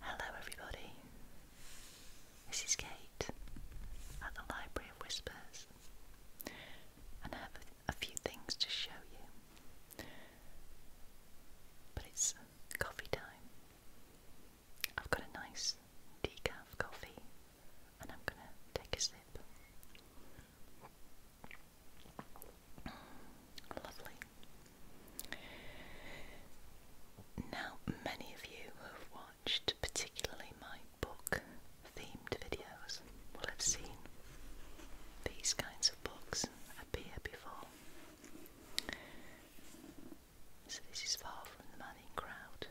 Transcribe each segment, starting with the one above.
Hello, everybody. This is Kate at the Library of Whispers, and I have a few things to show you. But it's coffee time. I've got a nice decaf coffee, and I'm going to take a sip. Lovely. Now, many of you have watched particularly my book themed videos will have seen these kinds of books appear before. So, this is Far From the Manning Crowd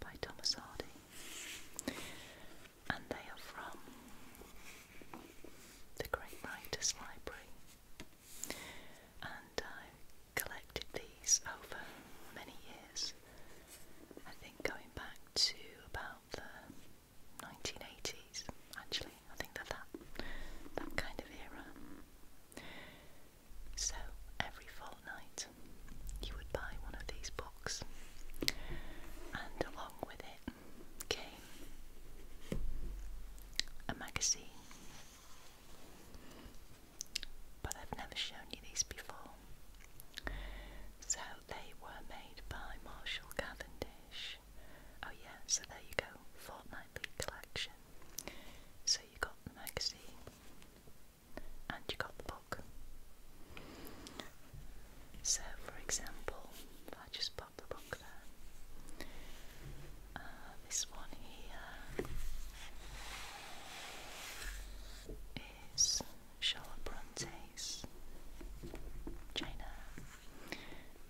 by Thomas Hardy and they are from the Great Writers Library. And I collected these over many years. I think going back to about the 1980s, actually. I think that that, that kind of era. So every fortnight you would buy one of these books, and along with it came a magazine. But I've never shown you these before. So they were made by Marshall Cavendish. Oh, yeah, so there you go, fortnightly collection. So you got the magazine and you got the book. So, for example, if I just pop the book there, uh, this one here is Charlotte Bronte's Jane Eyre,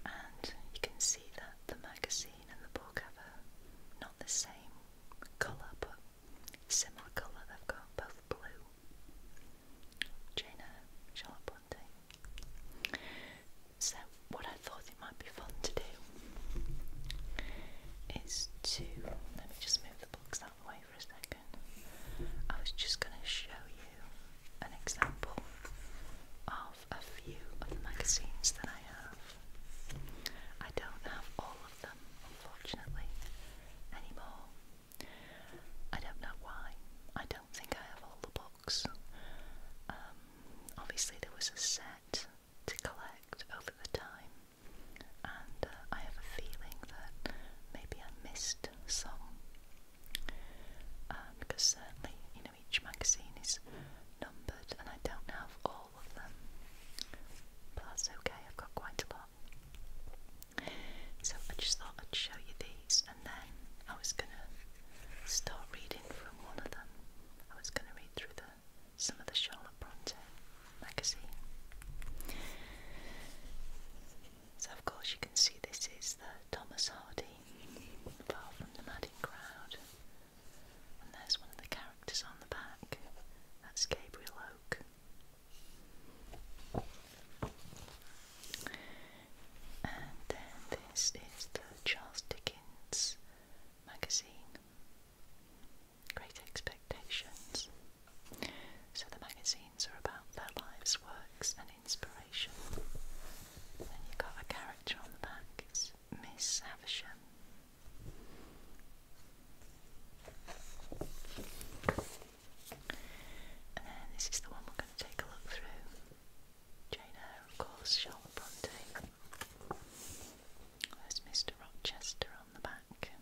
and you can see that the magazine and the book have a, not the same colour but similar colour. They've got both blue. Jane Eyre, Charlotte day. So, what I thought it might be fun to do is to let me just move the books out of the way for a second. I was just going to show you an example of a few of the magazines that I have. I don't have all of them, unfortunately, anymore. I don't know why. I don't think I have all the books. Um, obviously, there was a set to collect over the time, and uh, I have a feeling that maybe I missed some. Um, because certainly, you know, each magazine is numbered, and I don't have all of them. But that's okay, I've got quite a lot. So I just thought I'd show you these and then I was gonna start reading from one of them. I was gonna read through the some of the Charlotte Bronte magazine. So of course you can see this is the Thomas Hardy, Far from the Madding Crowd. And there's one of the characters on the back. That's Gabriel Oak. And then this is the Charles Dickens magazine, Great Expectations. So the magazines are about their lives, works, and inspiration. And you've got a character on the back, Miss Havisham. And this is the one we're going to take a look through. Jane Eyre, of course, Charlotte Bronte. There's Mr. Rochester on the back.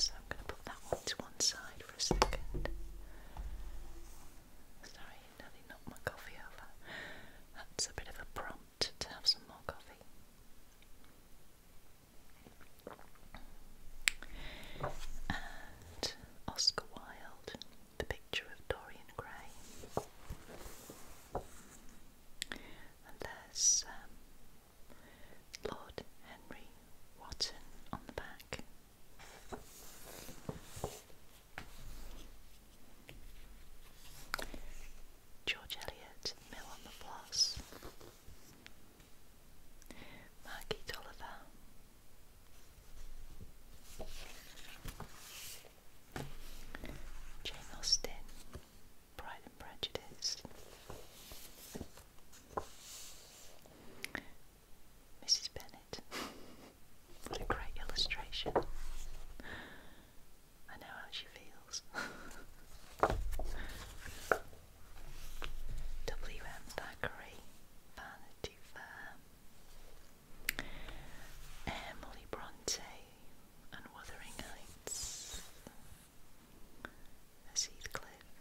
So I'm going to put that one to one side for a second. Sorry, Nelly knocked my coffee over. That's a bit of a prompt to have some more coffee and Oscar Wilde, The Picture of Dorian Gray, and there's um, Lord Henry Wotton on the back. George Eliot, Mill on the Floss, Margie Tolliver, Jane Austen, Pride and Prejudice, Mrs. Bennet. What a great illustration. I know how she feels. W. M. Thackeray, Vanity Fair, Emily Bronte, and Wuthering Heights, as Heathcliff,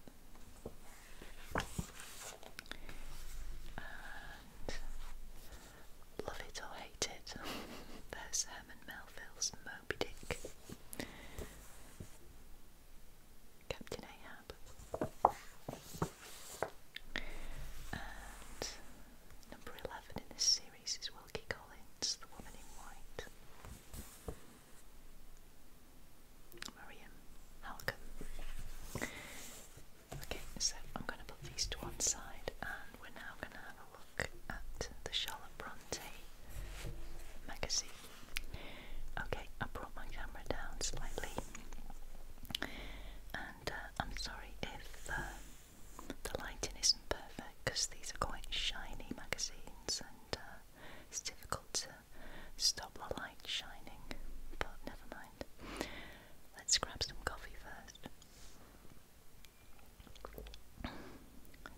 and Love It or Hate It, there's and Melville. Moby Dick, Captain Ahab, and number 11 in this series is Wilkie Collins, The Woman in White. Mariam Halcom. Okay, so I'm going to put these to one side and we're now going to have a look at the Charlotte Bronte magazine. Okay, I brought my camera down slightly, and uh, I'm sorry if uh, the lighting isn't perfect because these are quite shiny magazines, and uh, it's difficult to stop the light shining, but never mind. Let's grab some coffee first.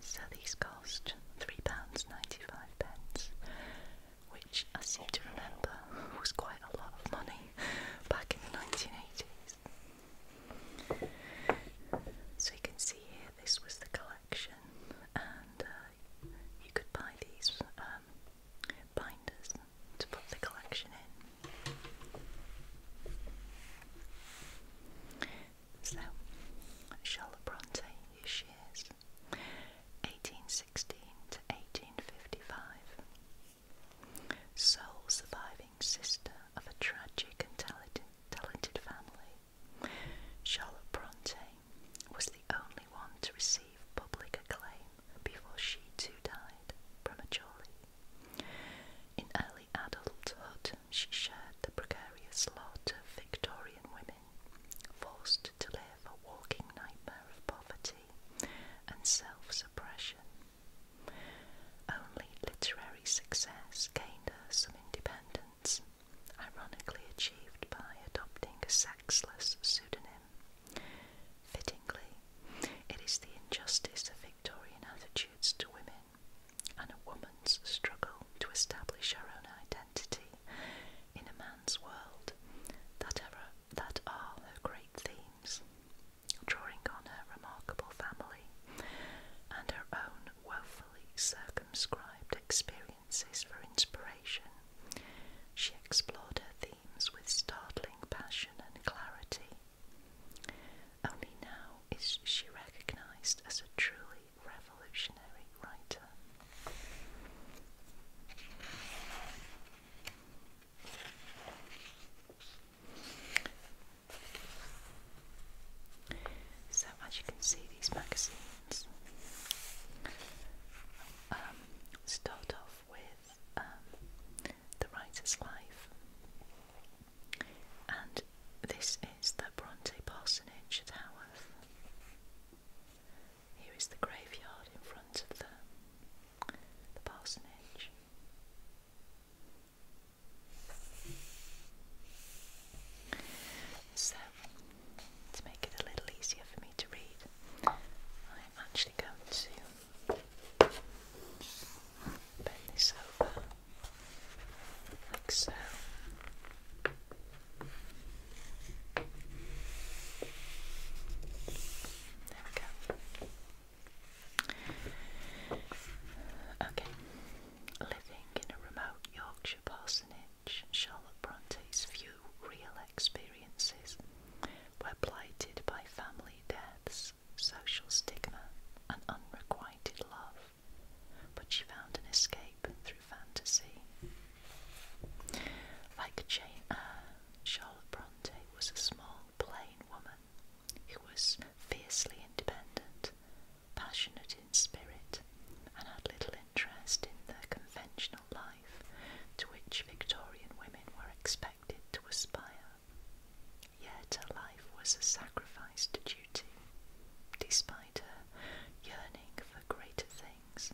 So these cost £3.95, which I seem to remember was quite a lot of money back in the 1980s. So you can see here this was the collection, and uh, you could buy these um, binders to put the collection in. So, Charlotte Bronte, here she 1816 to 1855. Sole surviving sister of a tragic and talented, talented family, Charlotte Bronte was the only one to receive public acclaim before she too died prematurely. In early early adulthood, she shared the precarious lot of Victorian women forced to live a walking nightmare of poverty and self suppression. Only literary success gained her some independence, ironically achieved by adopting a sexless pseudonym. Fittingly, it is the injustice of Victorian attitudes to women and a woman's struggle to establish her own identity in a man's world that are, that great themes, drawing on her remarkable family and her own woefully circumscribed experiences for inspiration. She explored her themes with startling passion and clarity, only now is she recognised as a truly revolutionary writer. So, as you can see, these magazines um, start off with um, the writer's life and this is the Bronte Parsonage at Haworth. Here is the graveyard in front of the, the parsonage. So, to make it a little easier for me to read, I'm actually going to bend this over like so. There we go. Okay. Living in a remote Yorkshire parsonage, Charlotte Bronte's few real experiences were blighted by family deaths social stigma, and unrequited love, but she found an escape through fantasy. Like Jane Eyre, uh, Charlotte Bronte was a small, plain woman who was fiercely independent, passionate in spirit, and had little interest in the conventional life to which Victorian women were expected to aspire. Yet her life was a sacrifice to duty. Despite her yearning for greater things,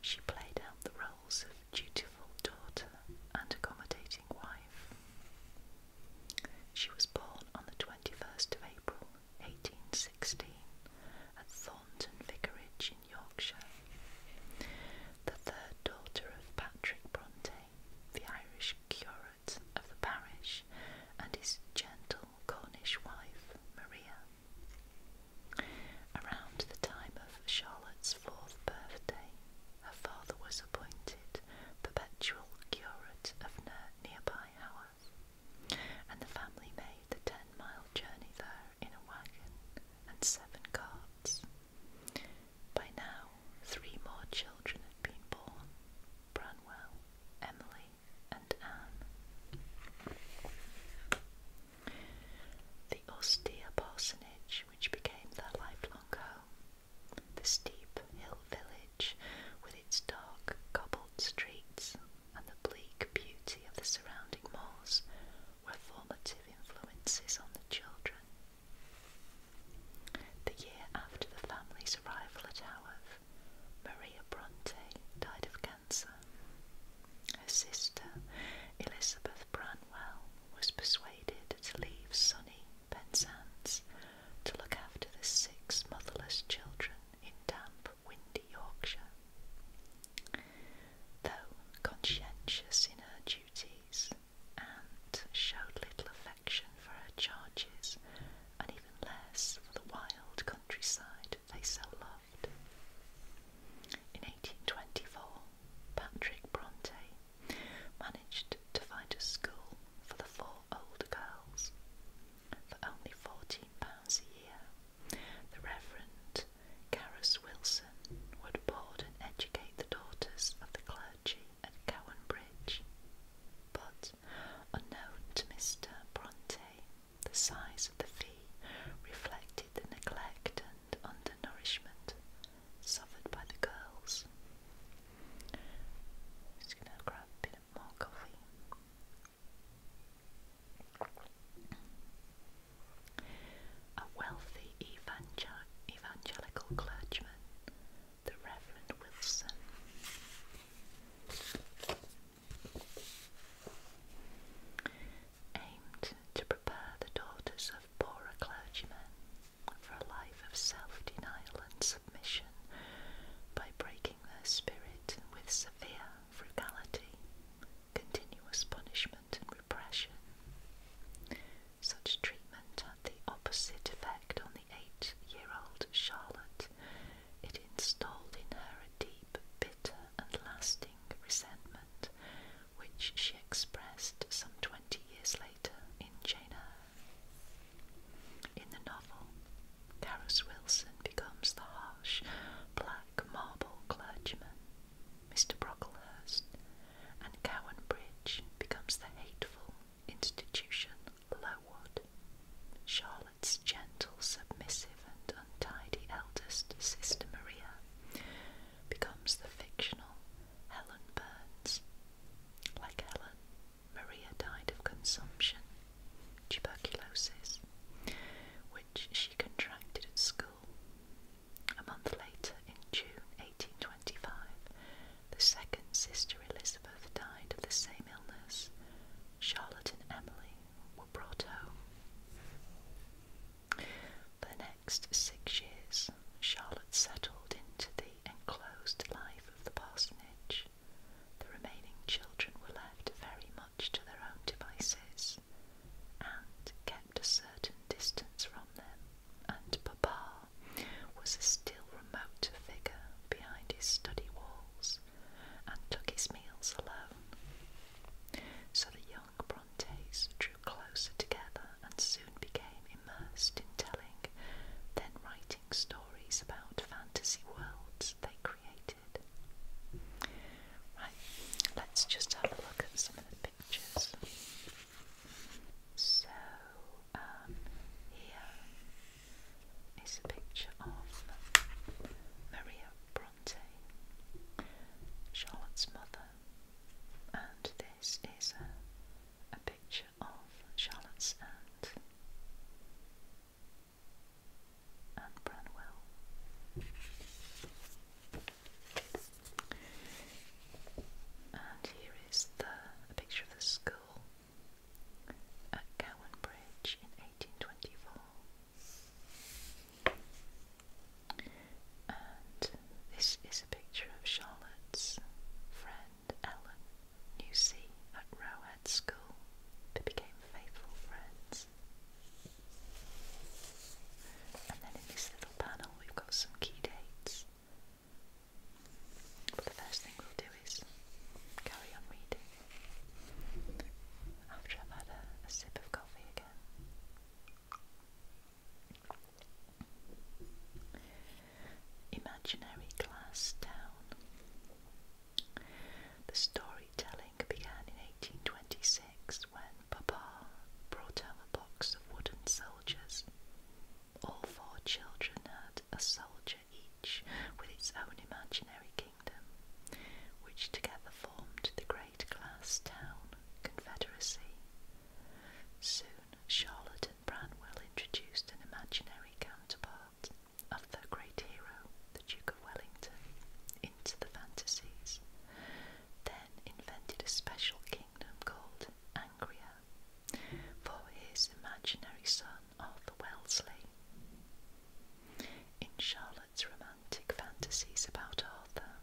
she played out the roles of dutiful daughter and accommodating wife. She was born on the 21st of April 1816 at Thornton Vicarage in Yorkshire, the third daughter of Patrick Bronte, the Irish curate of the parish and his gentle Cornish wife, Maria. Around the time of Charlotte's fourth birthday, her father was appointed perpetual curate of nearby Haworth, and the family made the ten mile journey there in a wagon and seven carts. By now, three more children had been born Branwell, Emily, and Anne. The austere parsonage, which became their lifelong home, the steep hill village with its dark cobbled streets and the bleak beauty of the surrounding moors, were formative influences on the children. The year after the family's arrival at Haworth, Maria Bronte died of cancer. Her sister, Elizabeth Branwell, was persuaded to leave sunny Penzance to look after the six motherless children in damp, windy Yorkshire. Though conscientious in her duties, and showed little affection for her charges, and even less for the wild countryside they so loved. In 1824, Patrick Bronte managed to find a school for the four older girls. For only fourteen pounds a year, the Reverend Carus Wilson would board and educate the daughters of the clergy at Cowan Bridge, but unknown to Mr. Bronte, the size of the fee reflected the neglect and undernourishment suffered by the girls a wealthy evangelical clergyman, the Reverend Wilson. Aimed to prepare the daughters of poorer clergymen for a life of self denial and submission by breaking their spirit with severe frugality, continuous punishment, and repression. Such treatment had the opposite effect on the eight year old Charlotte. It installed in her a deep, bitter, and lasting resentment, which she expressed some twenty years later in Jane Eyre. In the novel, Carus Wilson becomes the harsh, black marble clergyman Mr. Brocklehurst, and Cowan Bridge becomes the hateful institution Lowood. Charlotte's gentle, submissive, and untidy eldest sister Maria becomes the fictional Helen Burns. Like Helen, Maria died of consumption, tuberculosis, which she contracted at school a month later, in June 1825, the second sister Elizabeth died of the same illness. Charlotte and Emily were brought home. For the next six years, Charlotte settled into the enclosed life of the parsonage. The remaining children were left very much to their own devices and kept a certain distance from them and Papa was a still remote figure behind his study walls and took his meals alone. So the young Brontes drew closer together and soon became immersed in telling, then writing stories about fantasy worlds they created. Right, let's just have a look at some of the so, um, here is a picture of Maria Bronte, Charlotte's mother, and this is a, picture of Charlotte's aunt, Anne Branwell. And here is the, a picture of the school at Cowan Bridge in 1824. And this is a picture of Charlotte's friend Ellen Newsey at Rowhead School. They became faithful friends. And then in this little panel, we've got some key dates. But the first thing we'll do is carry on reading after I've had a, sip of coffee again. Imaginary Glass Town. The storytelling began in 1826 when Papa brought home a box of wooden soldiers. All four children had a soldier each with its own imaginary kingdom, which together formed the great glass town confederacy. Soon Charlotte and Branwell introduced an imaginary counterpart of their great hero, the Duke of Wellington, into the fantasies, then invented a special kingdom called Angria for his imaginary son Arthur Wellesley. In Charlotte's romantic fantasies about Arthur,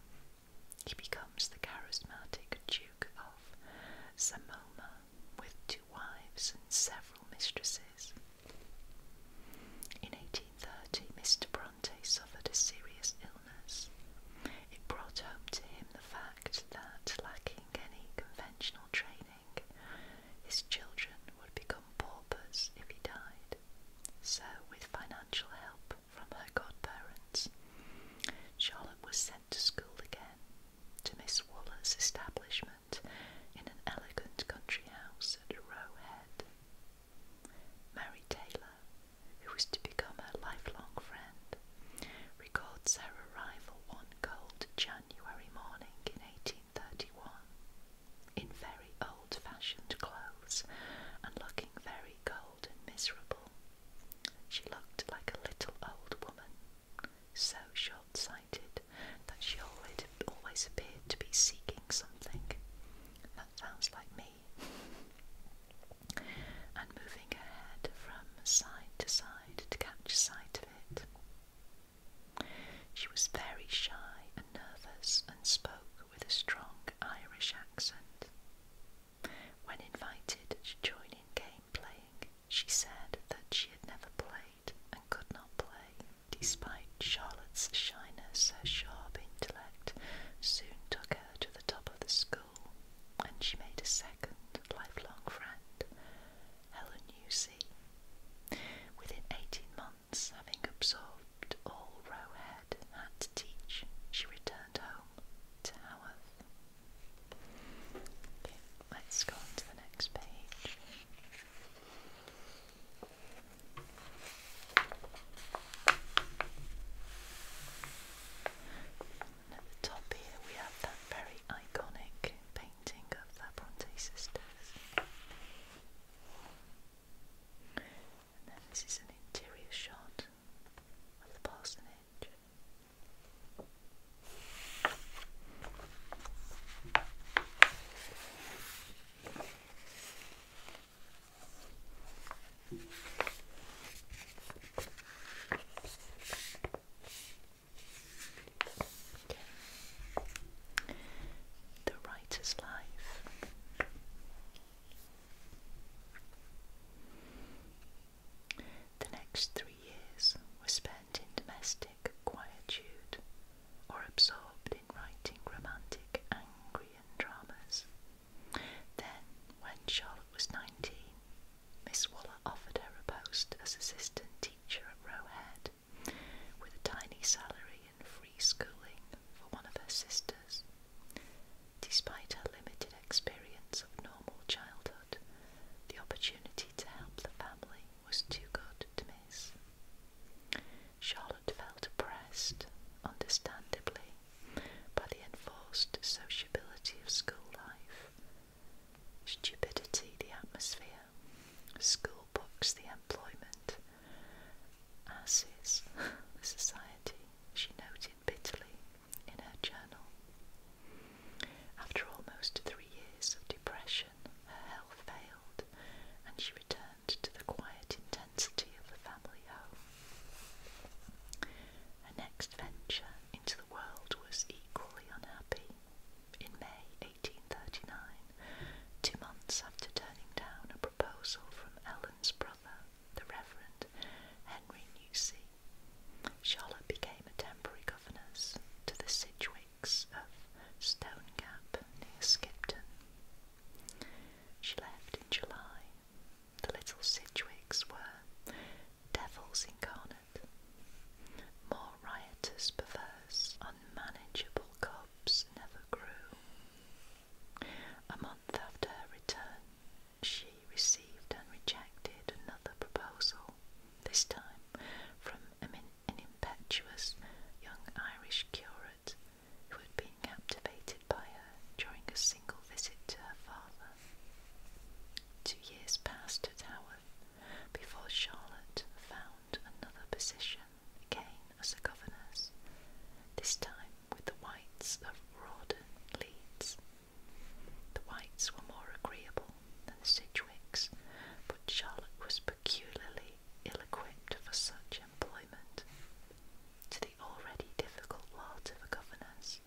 he becomes the charismatic Duke of Samoma with two wives and several mistresses. In 18 1930, Mr. Bronte suffered a serious illness. It brought home to him the fact that, lacking any conventional training, his children would become paupers if he died. So, with financial help from her godparents, Charlotte was sent to school again to Miss Waller's establishment in an elegant country house at Roe Head. Mary Taylor, who was to become her lifelong friend, records her arrival one cold January morning in 1831 in very old fashioned clothes and looking very cold and miserable. She looked like a little old woman, so short sighted that she always, appeared to be seeking something. That sounds like me and moving her head from side to side to catch sight of it. She was very shy and nervous and spoke with a strong Irish accent. When invited to join in game playing, she said that she had never played and could not play. Despite Charlotte's shyness, her sharp intellect soon took her to the top of the school, and she made a second lifelong friend, Helen Newsey. Within 18 months, having absorbed all Roe had to teach, she returned home to Haworth. let's go to the next page at the top here we have that very iconic painting of the Bronte sisters. And then this is an interior shot of the parsonage. The Writer's Life. The next three years were spent in domestic quietude or absorbed writing romantic, Angrian dramas. Then, when Charlotte was 19, Miss Waller offered her a post as assistant teacher at Roe Head, with a tiny salary and free schooling for one of her sisters. Despite her limited experience of normal childhood, the opportunity to help the family was too good to miss. Charlotte felt oppressed, understandably, by the enforced sociability of school life. Stupidity, the atmosphere, school books, the employment, asses, the society, she noted bitterly in her journal. After almost three years of depression, her health failed, and she returned to the quiet intensity of the family home. Her next venture into the world was equally unhappy. In May 1839, two months after turning down a proposal from Ellen's brother, the Reverend Henry Newsey, Charlotte became a temporary governess to the Sidgwick lakes of Stonegap near Skipton. She left in July. The little Sidwicks were devils incarnate, more riotous, perverse, unmanageable cubs never grew. A month after her return, she received and rejected another proposal, this time from an impetuous young Irish curate who had been captivated by her during a single visit to her father. Two years passed at Haworth before Charlotte found another position, again as a governess, this time with the Whites of Rawdon, Leeds. The Whites were more agreeable than the Sidgwicks, but Charlotte was peculiarly ill-equipped for such employment. To the already difficult lot of a governess,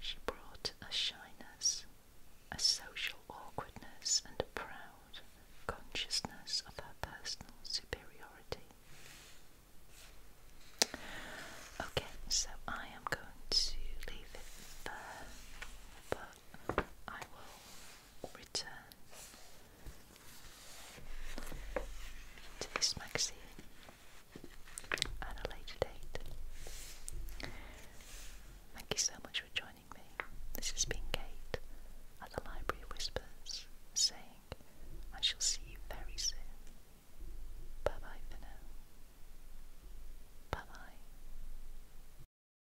she brought a shyness, a social awkwardness, and a proud consciousness of her personal superiority. Okay, so I am going to leave it there, but I will return to this magazine at a later date. Thank you so much for joining me. This has been Kate at the Library Whispers saying I shall see you very soon. Bye bye for now. Bye bye.